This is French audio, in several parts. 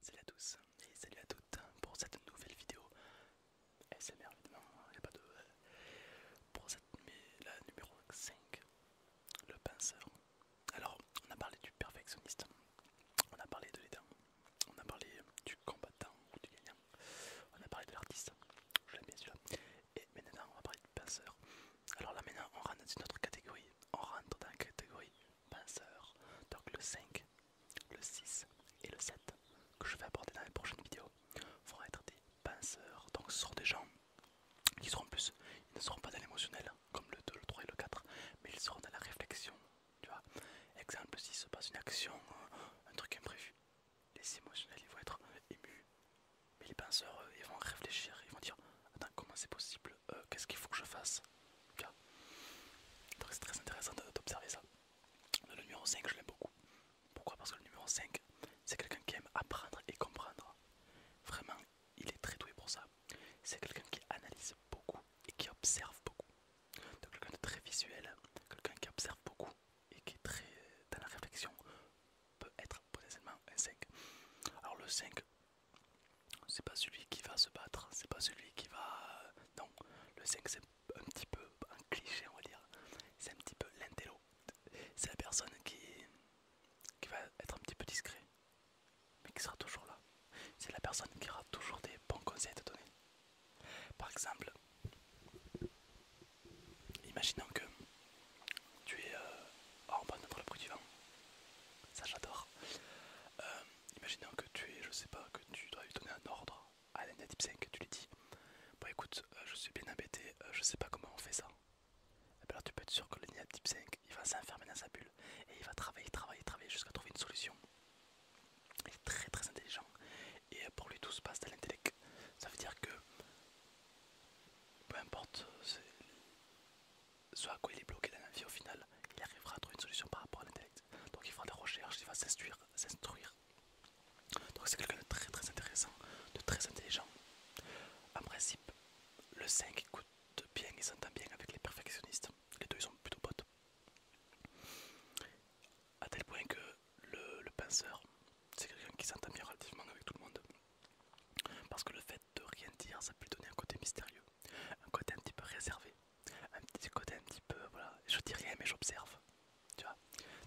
Salut à tous et salut à toutes pour cette nouvelle vidéo SMR évidemment, il hein, n'y a pas de... Euh, pour cette, la numéro 5, le pinceur. Alors on a parlé du perfectionniste, on a parlé de l'aidant, on a parlé du combattant ou du gagnant, on a parlé de l'artiste, je l'aime bien celui-là. Et maintenant on va parler du pinceur. Alors là maintenant on rentre dans une autre catégorie, on rentre dans la catégorie penseurs. Donc le 5, le 6 et le 7 que je vais aborder dans les prochaines vidéos vont être des penseurs. Donc ce sont des gens qui seront plus, ils ne seront pas dans l'émotionnel hein, comme le 2, le 3 et le 4, mais ils seront dans la réflexion. Tu vois, exemple, s'il se passe une action, euh, un truc imprévu, les émotionnels ils vont être émus, mais les penseurs euh, ils vont réfléchir, ils vont dire Attends, comment c'est possible euh, Qu'est-ce qu'il faut que je fasse donc c'est très intéressant d'observer ça. Le numéro 5, je l'aime beaucoup. Pourquoi Parce que le numéro 5, c'est quelqu'un qui aime apprendre et comprendre. Vraiment, il est très doué pour ça. C'est quelqu'un qui analyse beaucoup et qui observe beaucoup. Donc quelqu'un de très visuel, quelqu'un qui observe beaucoup et qui est très dans la réflexion peut être potentiellement un 5. Alors le 5, c'est pas celui qui va se battre, c'est pas celui qui va. Euh, non, le 5 c'est un petit peu un cliché, on va dire. C'est un petit peu l'intello. C'est la personne qui, va être un petit peu discret, mais qui sera toujours là. C'est la personne qui aura toujours des bons conseils à te donner. Par exemple, imaginons que tu es. Euh, en Oh, on le bruit du vent. Ça, j'adore. Euh, imaginons que tu es, je sais pas, que tu dois lui donner un ordre à type 5, tu lui dis Bon écoute, euh, je suis bien embêté, euh, je sais pas comment on fait ça. Eh ben, alors tu peux être sûr que le 5 il va s'enfermer dans sa bulle et il va travailler, travailler, travailler jusqu'à trouver une solution. Il est très très intelligent et euh, pour lui tout se passe à l'intellect. Ça veut dire que peu importe c'est soit à quoi il est bloqué dans la vie au final, il arrivera à trouver une solution par rapport à l'intellect. Donc il fera des recherches, il va s'instruire, s'instruire. Donc c'est quelqu'un de très très intéressant, de très intelligent. En principe, le 5 écoute bien il s'entend bien avec les perfectionnistes. Les deux ils sont plutôt potes. A tel point que le, le penseur, c'est quelqu'un qui s'entend bien relativement avec tout le monde. Parce que le fait de rien dire, ça peut lui donner un côté mystérieux, un côté un petit peu réservé un petit côté un petit peu, voilà, je dis rien mais j'observe, tu vois.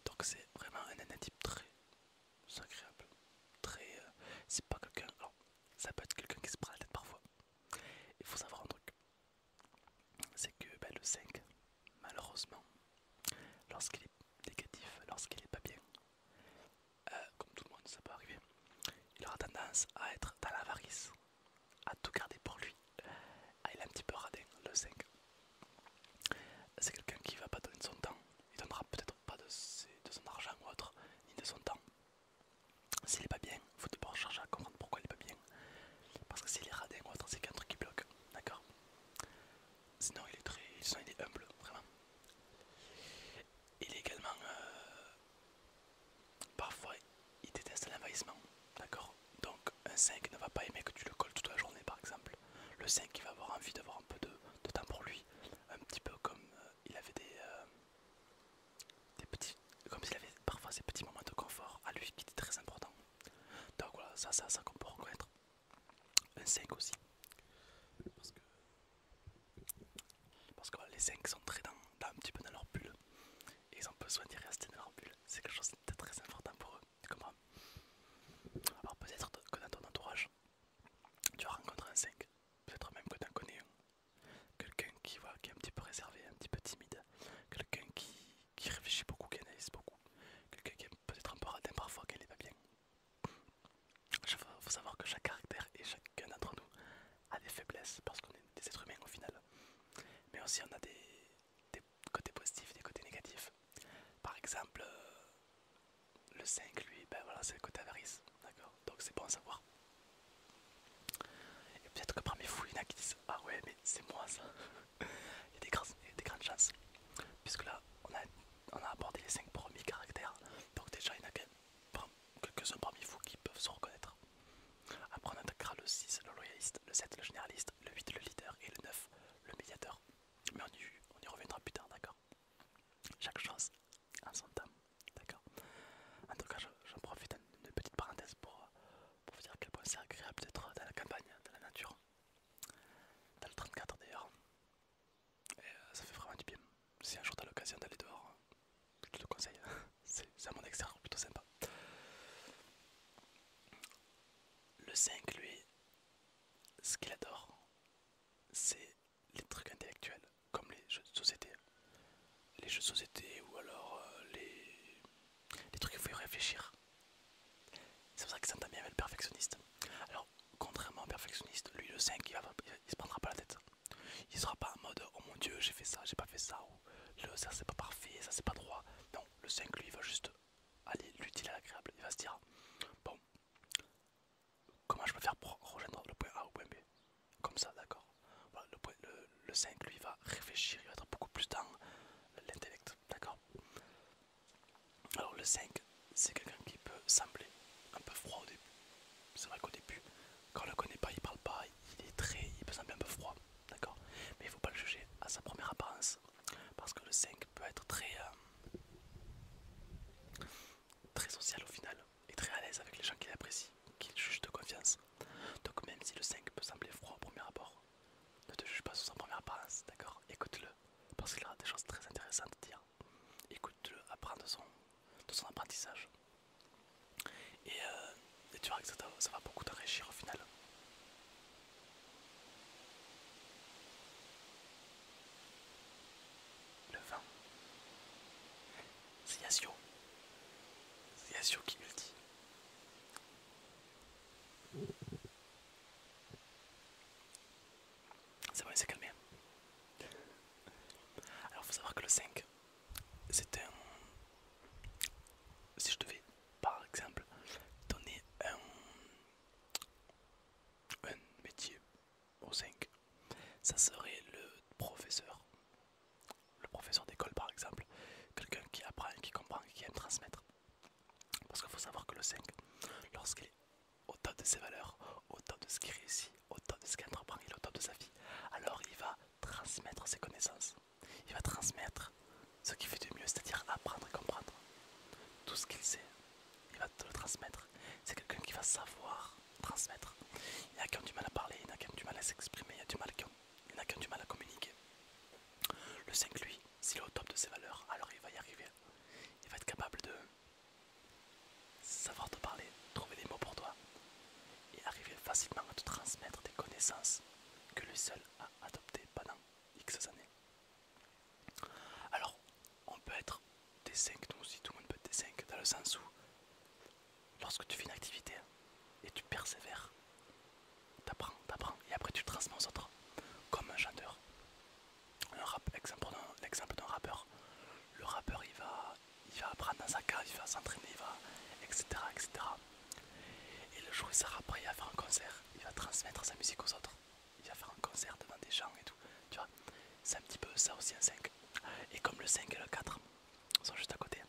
Donc c'est vraiment un nanatype très agréable, très... Euh, c'est pas quelqu'un... Alors, ça peut être quelqu'un qui se prend la tête parfois. Il faut savoir un truc, c'est que ben, le 5, malheureusement, lorsqu'il est négatif, lorsqu'il est pas bien, euh, comme tout le monde ça peut arriver, il aura tendance à être dans l'avarice, à tout garder pour lui. Ah, il est un petit peu radin, le 5. C'est quelqu'un qui va pas donner son temps. Il donnera peut-être pas de, son argent ou autre, ni de son temps. S'il est pas bien, faut d'abord chercher à comprendre pourquoi il est pas bien. Parce que s'il est radin ou autre, c'est qu'un truc qui bloque. D'accord Sinon, il est très. Sinon, il est humble, vraiment. Il est également. Euh, parfois, il déteste l'envahissement. D'accord Donc, un 5 ne va pas aimer que tu le colles toute la journée, par exemple. Le 5, il va avoir envie d'avoir un peu de, temps pour lui. Un petit peu comme euh, il avait des. Euh, des petits. Comme s'il avait parfois ces petits moments de confort à lui qui étaient très importants. Donc voilà, ça, ça, ça qu'on peut reconnaître. Un 5 aussi. Parce que parce que les 5 sont très dans, un peu dans leur bulle. Et ils ont besoin d'y rester dans leur bulle. C'est quelque chose de très important pour eux. Alors peut-être que dans ton entourage, tu vas rencontrer un 5. Peut-être même que tu en connais Quelqu'un qui, voit qui est un petit peu réservé, un petit peu timide. Quelqu'un qui, réfléchit beaucoup, qui analyse beaucoup. Quelqu'un qui est peut-être un peu radin parfois, qui n'est pas bien. Il faut savoir que chaque caractère et chaque qu'un d'entre nous a des faiblesses parce qu'on est des êtres humains au final. Mais aussi on a des, côtés positifs, des côtés négatifs. Par exemple, euh, le 5 lui, ben voilà, c'est le côté avarice, d'accord Donc c'est bon à savoir. Et peut-être que parmi vous, il y en a qui disent Ah ouais, mais c'est moi ça il, y a des grandes, chances. Puisque là, on a, on a abordé les 5 premiers caractères. Donc déjà, il y en a quelques-uns parmi vous qui peuvent se reconnaître. Après on attaquera le 6, le loyaliste, le 7, le généraliste, le 8, le leader et le 9, le médiateur. Mais on y, reviendra plus tard, d'accord Chaque chose en son temps, d'accord En tout cas, j'en profite d'une petite parenthèse pour, vous dire à quel point c'est agréable d'être dans la campagne, dans la nature. Dans le 34 d'ailleurs. Et euh, ça fait vraiment du bien si un jour t'as l'occasion d'aller dehors, je te le conseille. C'est à mon extérieur plutôt sympa. Le 5, lui, ce qu'il adore, c'est les trucs intellectuels, comme les jeux de société. Les jeux de société ou alors euh, les... les trucs où il faut y réfléchir. C'est pour ça qu'il s'entend bien avec le perfectionniste. Alors, contrairement au perfectionniste, lui, le 5, il se prendra pas la tête. Il sera pas en mode oh mon dieu, j'ai fait ça, j'ai pas fait ça, ou le ça c'est pas parfait, ça c'est pas droit. Non, le 5 lui va juste aller l'utile à l'agréable. Il va se dire bon, comment je peux faire pour rejoindre le point A ou le point B Comme ça, d'accord. le, le, 5 lui va réfléchir, il va être beaucoup plus dans l'intellect, d'accord Alors le 5, c'est quelqu'un qui peut sembler un peu froid au début. C'est vrai qu'au début, quand on le connaît pas, il parle pas, il est très, il peut sembler un peu froid, d'accord Mais il faut pas le juger à sa première apparence, parce que le 5 peut être très, euh, très social au final, et très à l'aise avec les gens qu'il apprécie, qu'il juge de confiance. Donc même si le 5 peut sembler froid au premier abord, ne te juge pas sur sa première apparence, d'accord Écoute-le, parce qu'il aura des choses très intéressantes à dire. Écoute-le, apprends de son de son apprentissage. Euh, et, tu verras que ça, va beaucoup t'enrichir au final. Le vin. C'est Yasio. C'est Yasio qui multi. C'est bon, il s'est calmé. Alors, faut savoir que le 5, c'est un. Si je devais, par exemple, donner un, un métier au 5, ça serait le professeur. Le professeur d'école, par exemple. Quelqu'un qui apprend, qui comprend, qui aime transmettre. Parce qu'il faut savoir que le 5, lorsqu'il est au de ses valeurs, au top de ce qu'il réussit, au top de au top de sa vie. Alors il va transmettre ses connaissances, il va transmettre ce qu'il fait de mieux, c'est-à-dire apprendre et comprendre. Tout ce qu'il sait, il va te le transmettre. C'est quelqu'un qui va savoir transmettre. Il y qu'un a qui du mal à parler, il y en a du mal à s'exprimer, il y qu'un a qui du mal à communiquer. Le 5, lui, s'il est au top de ses valeurs, alors il va y arriver. Il va être capable de savoir te parler, trouver des mots pour toi et arriver facilement à te transmettre des connaissances que lui seul a adopté pendant X années. Alors, on peut être des 5, tout le monde peut être des 5, dans le sens où lorsque tu fais une activité et tu persévères, t'apprends, t'apprends et après tu transmets aux autres comme un chanteur. Un rap, d'un rappeur, le rappeur il va, il va apprendre dans sa cave, il va s'entraîner, il va, etc., etc. Et le jour où il sera prêt à faire un concert, il va transmettre sa musique aux autres. Il va faire un concert devant des gens et tout. Tu vois, c'est un petit peu ça aussi un 5. Et comme le 5 et le 4 sont juste à côté,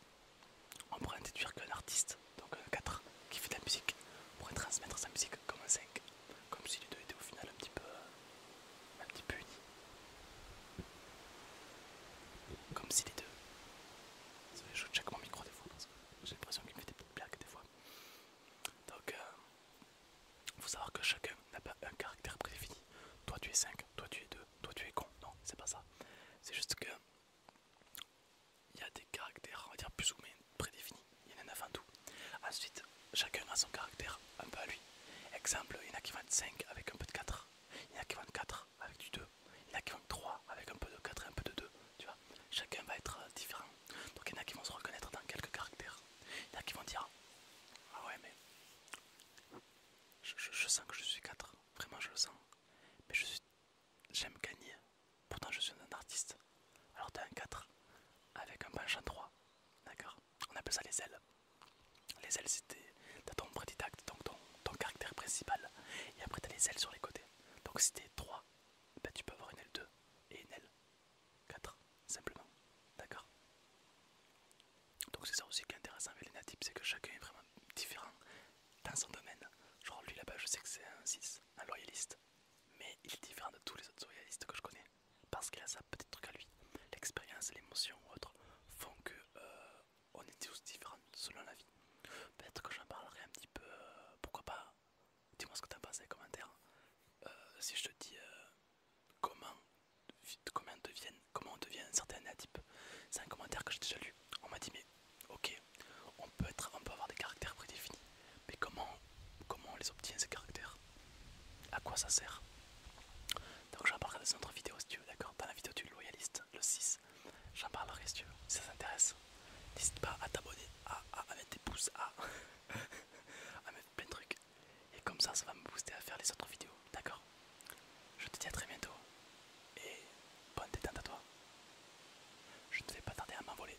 on pourrait déduire qu'un artiste, donc un 4 qui fait de la musique, pourrait transmettre sa musique comme un 5. Comme si les deux étaient au final un petit peu un petit peu uni Comme si les deux. Ça je chaque mon micro des fois parce que j'ai l'impression qu'il me fait des petites blagues des fois. Donc, euh, faut savoir que chacun n'a pas un caractère prédéfini. Toi tu es 5, toi tu es 2, toi tu es con. Non, c'est pas ça. C'est juste que il y a des caractères, on va dire plus ou moins prédéfinis. Il y en a 9 tout. Ensuite, chacun a son caractère un peu à lui. Exemple, il y en a qui vont être 5 avec un peu de 4 il y en a qui être 4 avec du 2, il y en a qui 3 avec un peu de 4 et un peu de 2, tu vois, chacun va être euh, différent. Donc il y en a qui vont se reconnaître dans quelques caractères, il y en a qui vont dire Ah ouais, mais je, sens que je suis 4, vraiment je le sens, mais je suis j'aime gagner, pourtant je suis un artiste. Alors tu t'as un 4 avec un penchant 3, d'accord On appelle ça les ailes. Les ailes c'était t'as ton prédidacte, donc ton, caractère principal, et après t'as les ailes sur les côtés. Donc si t'es 3, ben, tu peux avoir une aile 2 et une aile 4, simplement. D'accord Donc c'est ça aussi qui est intéressant avec les natifs, c'est que chacun est vraiment différent dans son domaine. Genre lui là-bas je sais que c'est un 6, un loyaliste, mais il est différent de tous les autres loyalistes que je connais, parce qu'il a sa petite truc à lui. L'expérience, l'émotion ou autre font que euh, on est tous différents selon la vie. Peut-être que j'en parlerai un petit peu, euh, pourquoi pas, dis-moi ce que t'en penses dans les commentaires. Euh, si je te dis euh, comment, comment, on devient, comment on devient un certain type, c'est un commentaire que j'ai déjà lu. On m'a dit mais ok, on peut, être, on peut avoir des caractères prédéfinis, mais comment, comment on les obtient ces caractères À quoi ça sert donc j'en parlerai dans une autre vidéo si tu veux, d'accord Dans la vidéo du loyaliste, le 6, j'en parlerai si tu veux, si ça t'intéresse. N'hésite pas à t'abonner, à, mettre des pouces, à, à mettre plein de trucs. Et comme ça, ça va me booster à faire les autres vidéos, d'accord Je te dis à très bientôt. Et bonne détente à toi. Je ne vais pas tarder à m'envoler.